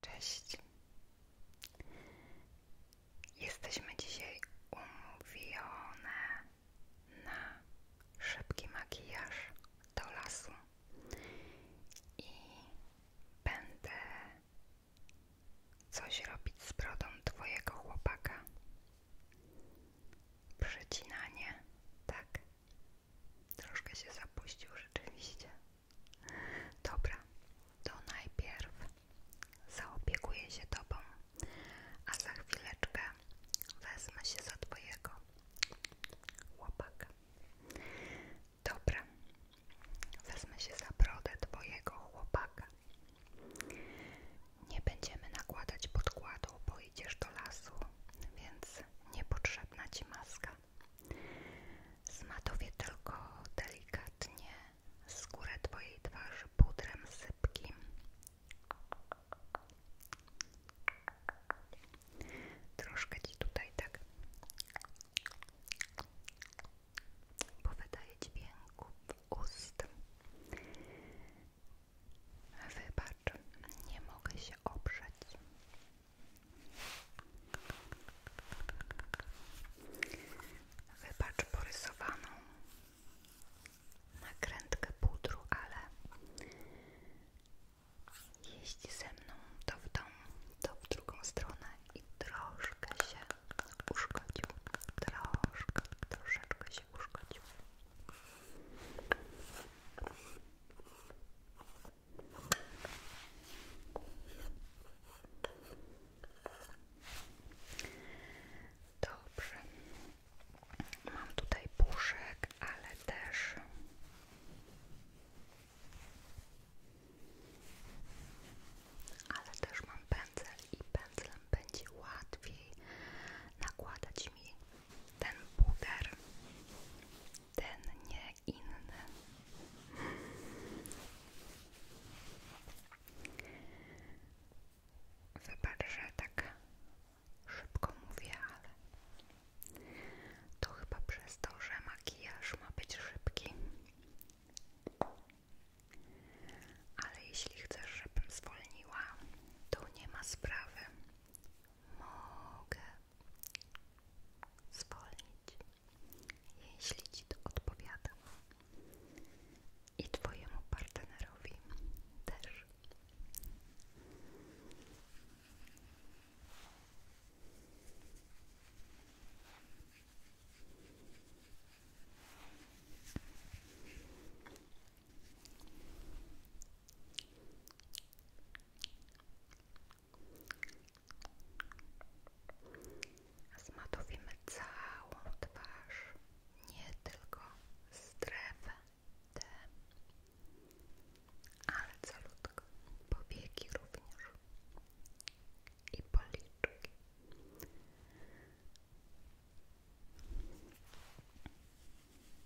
Cześć. Jesteśmy dzisiaj umówione na szybki makijaż do lasu i będę coś robić z brodą twojego chłopaka. Przecinanie, tak? Troszkę się zapuścił rzeczywiście. Dobra, to najpierw zaopiekuję się Tobą, a za chwileczkę wezmę się za Twojego łopaka. Dobra, wezmę się za brodę Twojego chłopaka. Nie będziemy nakładać podkładu, bo idziesz do lasu, więc niepotrzebna Ci maska. Zmatowię tylko delikatnie skórę Twojej twarzy pudrem sypkim. Troszkę Ci tutaj tak powydaje w ust. Wybacz, nie mogę się oprzeć. Wybacz porysowaną nakrętkę pudru, ale jeździ ze mną to w tą, to w drugą stronę i troszkę się uszkodził. Troszkę, troszeczkę się uszkodził. Dobrze. Mam tutaj puszek, ale też ale też mam pędzel i pędzlem będzie łatwiej nakładać mi ten puder ten, nie inny. Wybacz, że tak szybko mówię, ale to chyba przez to, że makijaż ma być szybki. Ale jeśli chcesz, żebym zwolniła, to nie ma sprawy. Mogę zwolnić, jeśli Ci to odpowiada i Twojemu partnerowi też. Zmatowimy całą twarz, nie tylko strefę D, ale calutko, powieki również i policzki.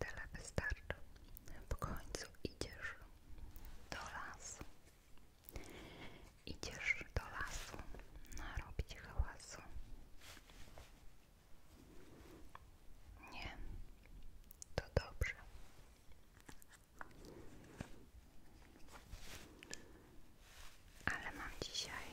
Tyle wystarczy. W końcu idziesz do lasu. Idziesz do lasu narobić hałasu. Nie, to dobrze. Ale mam dzisiaj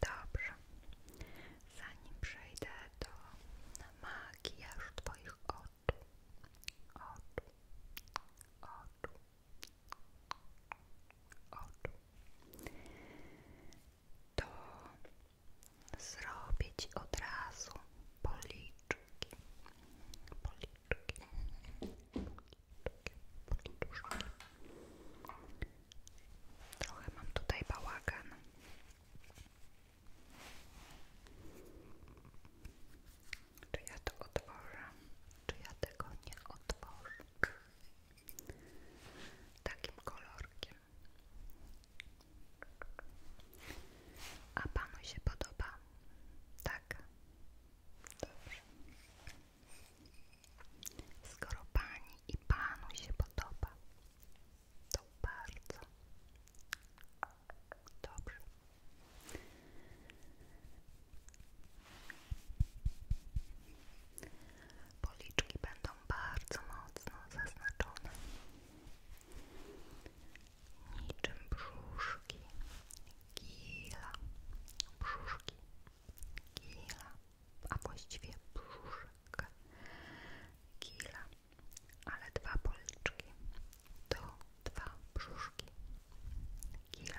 Dobrze. Zanim przejdę do makijażu Twoich oczu, oczu, oczu, oczu, to zrobię Ci od razu policzki, policzki. Policzki, Trochę mam tutaj bałagan. Czy ja to otworzę? Czy ja tego nie otworzę? Takim kolorkiem. A panu się podoba? Tak. Dobrze. Skoro pani i panu się podoba, to bardzo dobrze. Policzki będą bardzo mocno zaznaczone. Niczym brzuszki Gila, brzuszki, gila, a właściwie brzuszek, gila, ale dwa policzki to dwa brzuszki, gila.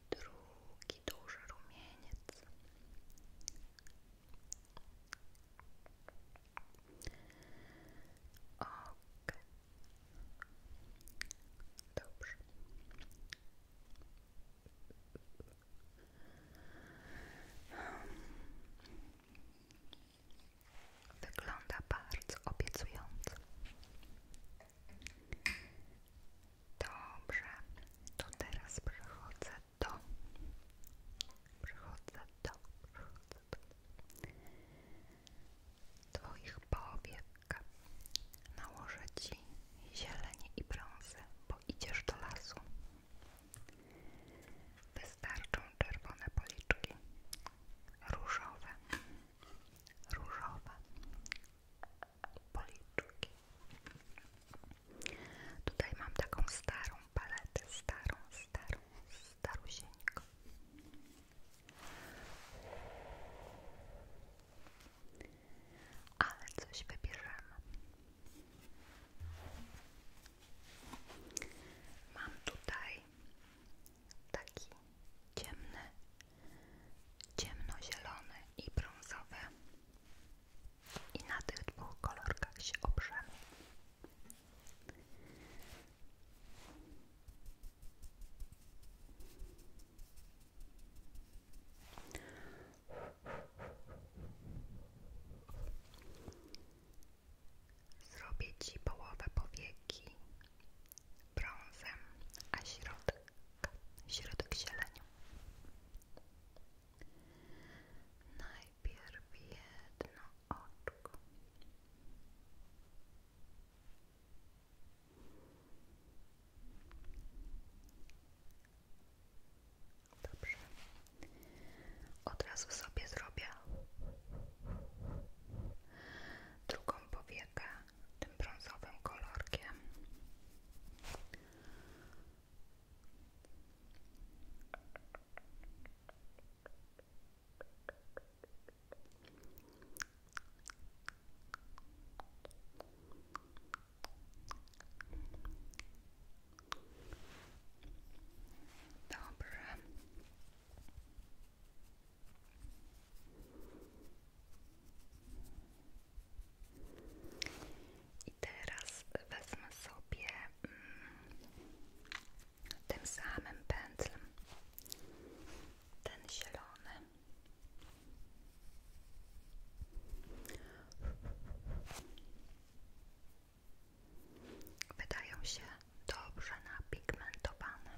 drugi duży rumieniec. Ok. Dobrze. Wygląda bardzo obiecująco. Dobrze, to teraz przechodzę do, przechodzę do, przechodzę do Twoich powiek. Nałożę Ci zieleń i brązy, bo idziesz do lasu. Wystarczą czerwone policzki, różowe, różowe, Tutaj mam taką starą paletę, starą, starą, starusieńką. Ale coś wybierzemy. Mam tutaj taki ciemny ciemnozielony i brązowe, I na tych dwóch kolorach się oprzemy. Zrobię Ci połowę powieki brązem, a środek, środek zielenią. Najpierw jedno oczko. Dobrze. Od razu sobie zrobię drugą powiekę tym brązowym kolorkiem. Dobrze. I teraz wezmę sobie mm, tym samym pędzlem ten zielony. Wydają się dobrze napigmentowane.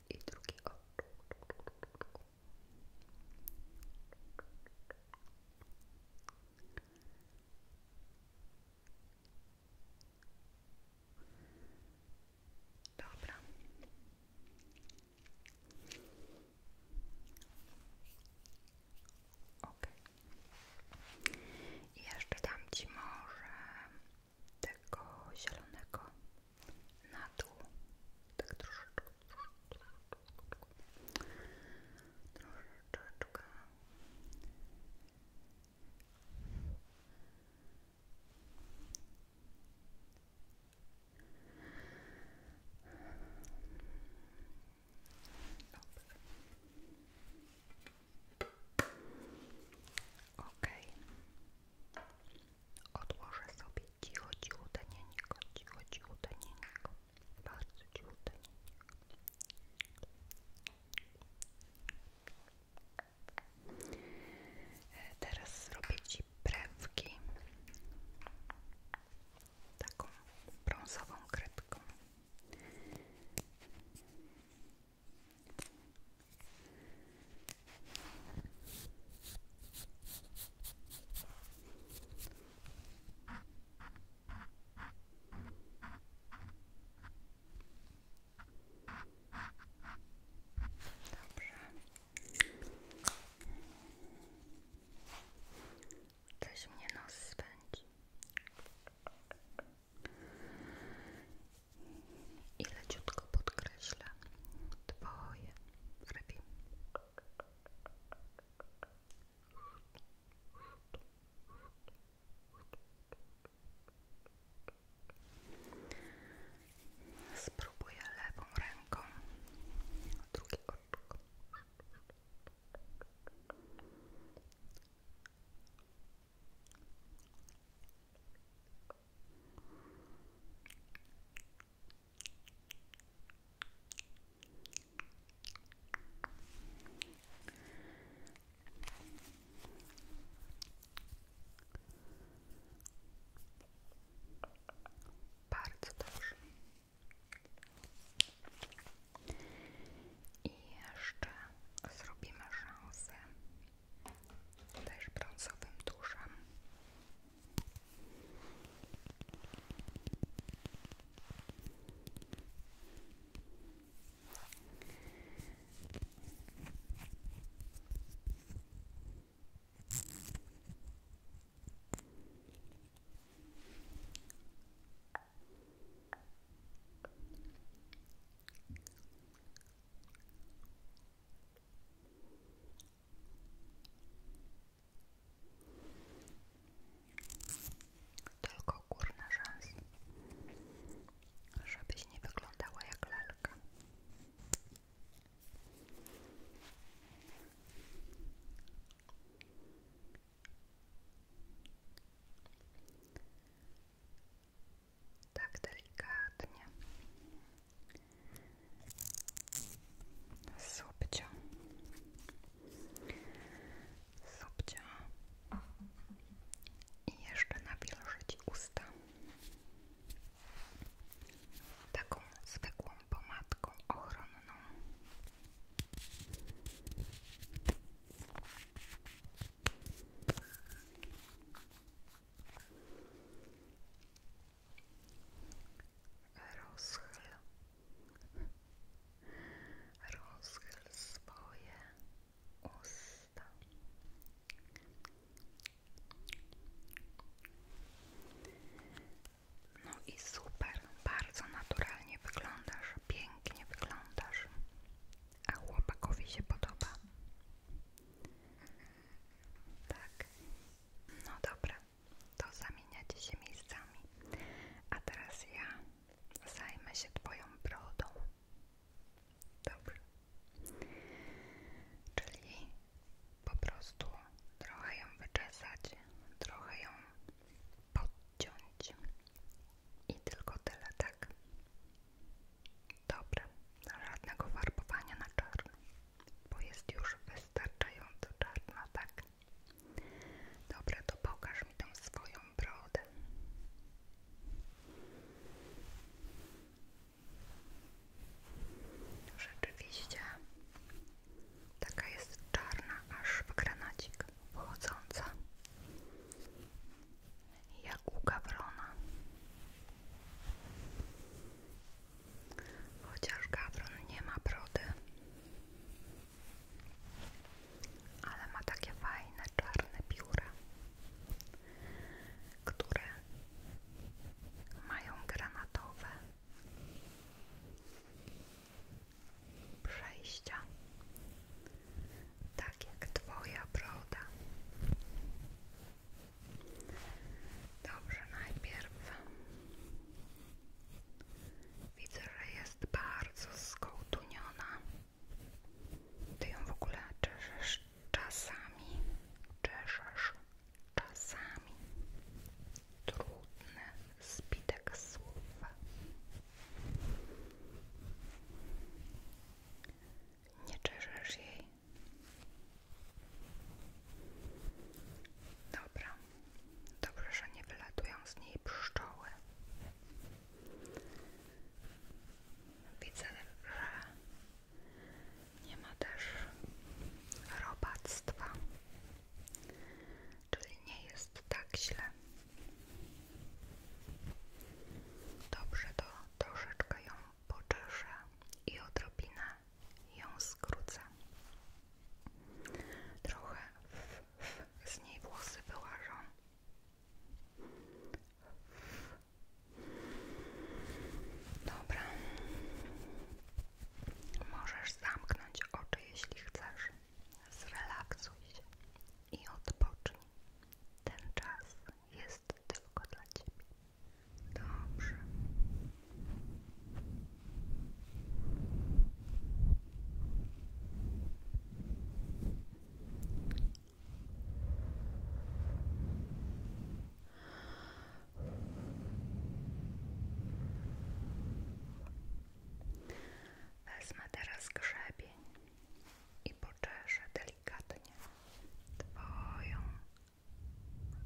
i drugi oczy. Dobra. Ok. I jeszcze dam Ci może tego zielonego na dół, tak troszeczkę, troszeczkę. Dobrze. Okej. Okay odłożę sobie cicho, cichutenieńko, cicho, cichutenieńko, bardzo cichutenieńko. E, teraz zrobię Ci brewki taką brązową kredką. Coś mnie nos spędzi i leciutko podkreślę twoje brwi. Spróbuję lewą ręką drugie oczko. Bardzo dobrze. I jeszcze zrobimy rzęsy też brązowym tuszem. Tylko górna szans, żebyś nie wyglądała jak lalka tak delikatnie subcio subcio i jeszcze nawilżyć usta taką zwykłą pomadką ochronną Rozchyl, rozchyl swoje usta. No i super, bardzo naturalnie wyglądasz, pięknie wyglądasz, a chłopakowi się podoba. Tak. No dobra, to zamieniacie się miejscami. A teraz ja zajmę się Twoją brodą. Dobrze. Czyli po prostu trochę ją wyczesać, trochę ją podciąć. I tylko tyle, tak? Dobra, żadnego farbowania na czarno, bo jest już wystarczająco czarna, tak? Dobra, to pokaż mi tą swoją brodę. Rzeczywiście, taka jest czarna, aż w granacik wchodząca, jak u gawrona. Chociaż gawron nie ma brody, ale ma takie fajne czarne pióra, które mają granatowe przejścia, tak jak Twoja broda. Dobrze, najpierw widzę, że jest bardzo skołtuniona. Ty ją w ogóle czeszesz czasami. Czeszesz czasami. Trudny zbitek słów. Nie czeszesz jej. Dobra, dobrze, że nie wylatują z niej pszczoły. Widzę, że nie ma też robactwa, czyli nie jest tak źle. Dobrze, to troszeczkę ją poczeszę i odrobinę ją skrócę. Trochę z niej włosy wyłażą. Dobra. Możesz zamknąć oczy, jeśli chcesz. Zrelaksuj się i odpocznij. Ten czas jest tylko dla ciebie. Dobrze. teraz grzebień i poczeszę delikatnie Twoją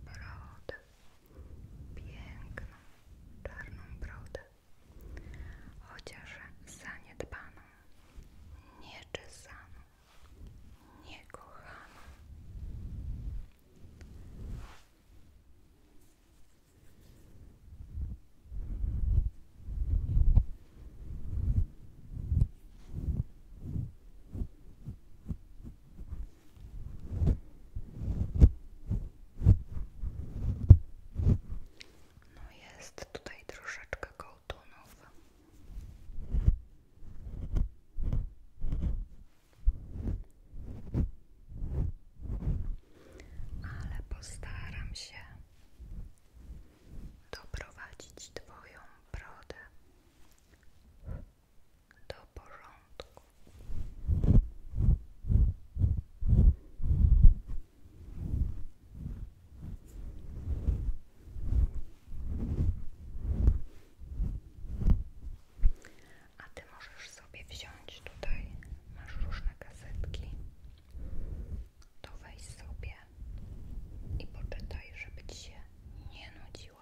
brodę, piękną, czarną brodę, chociaż zaniedbaną, nieczesaną, niekochaną. No jest tutaj troszeczkę kołtunów. Ale postaram się doprowadzić Twoją brodę to porządku. A ty możesz sobie wziąć tutaj, masz różne gazetki, to weź sobie i poczytaj, żeby ci się nie nudziło.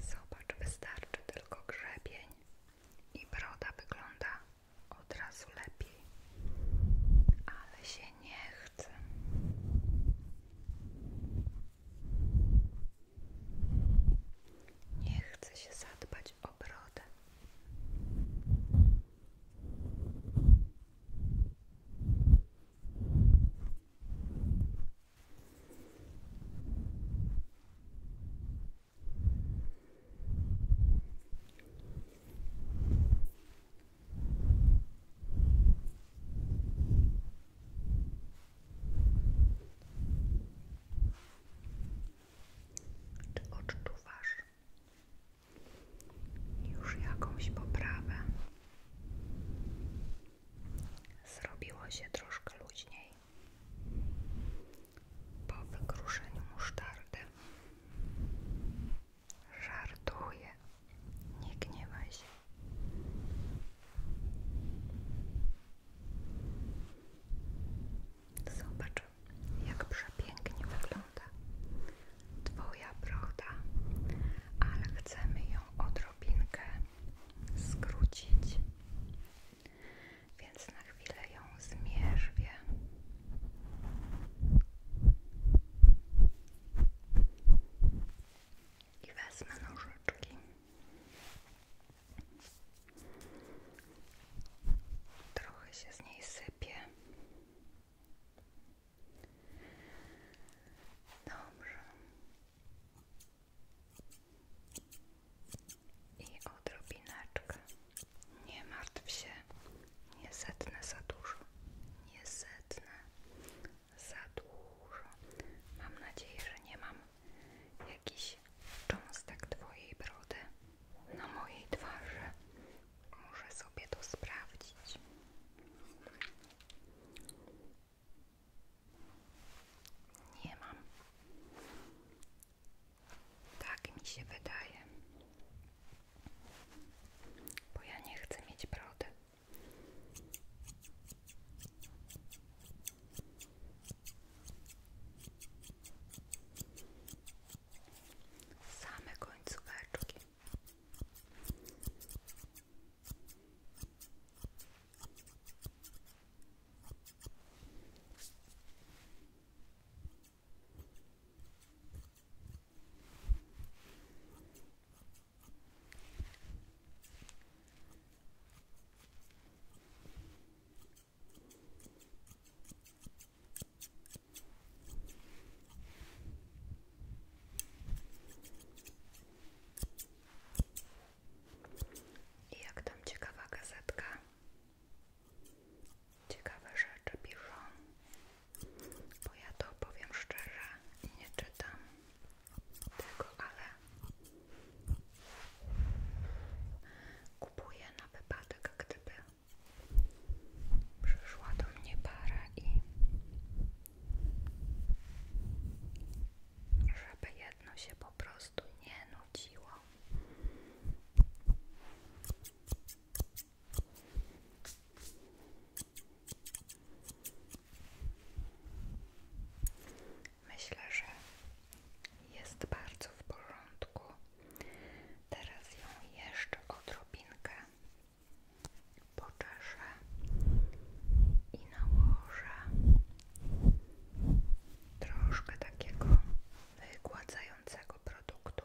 Zobacz, wystarczy tylko grzebień i broda wygląda od razu lepiej, ale się nie chce. Nie chce się zadbać o brodę. Czy odczuwasz już jakąś poprawę? Zrobiło się troszkę luźniej po wygruszeniu musztardy żartuje, Nie gniewaj się. Zobacz, jak przepięknie wygląda Twoja broda, ale chcemy ją odrobinkę skrócić. Więc na chwilę ją zmierzwię. I wezmę nożyczki. Trochę się z niej sypie. Dobrze. I odrobineczkę nie martw się, nie zetnę za dużo, nie zetnę za dużo. Mam nadzieję, że nie mam jakiś cząstek Twojej brody na mojej twarzy. Muszę sobie to sprawdzić. Nie mam. Tak mi się wydaje. Bo ja nie chcę mieć brody. Same końcóweczki. I jak tam ciekawa gazetka? Ciekawe rzeczy piszą, bo ja to powiem szczerze, nie czytam tego, ale kupuję na wypadek, gdyby przyszła do mnie para i żeby jedno się po prostu nie nudziło. Myślę, że jest bardzo w porządku. Teraz ją jeszcze odrobinkę poczeszę i nałożę troszkę takiego wygładzającego produktu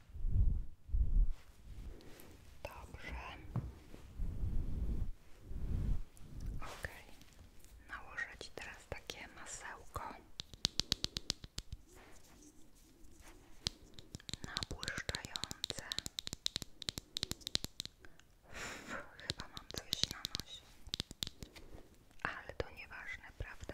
Dobrze. Ok. Nałożę Ci teraz takie masełko nabłyszczające. chyba mam coś na nosie. Ale to nie ważne, prawda?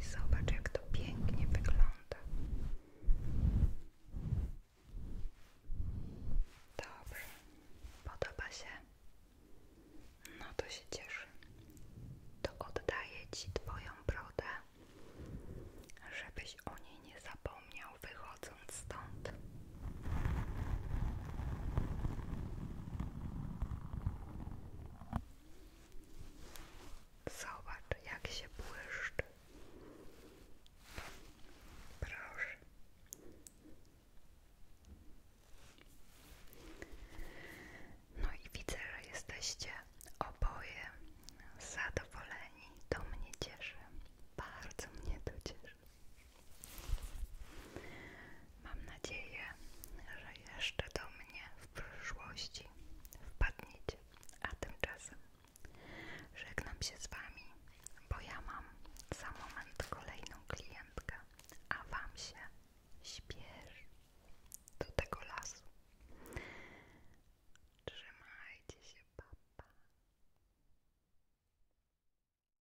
I zobacz, jak to pięknie wygląda. Dobrze, podoba się? No to się cieszę. To oddaję Ci Twoją brodę, żebyś o niej nie zapomniał wychodząc stąd. Zobacz, jak się błyszczy. Proszę. No i widzę, że jesteście oboje zadowoleni. To mnie cieszy. Bardzo mnie to cieszy. Mam nadzieję, że jeszcze do mnie w przyszłości wpadniecie, a tymczasem żegnam się z Wami, bo ja mam za moment kolejną klientkę, a Wam się śpiesz do tego lasu. Trzymajcie się, papa.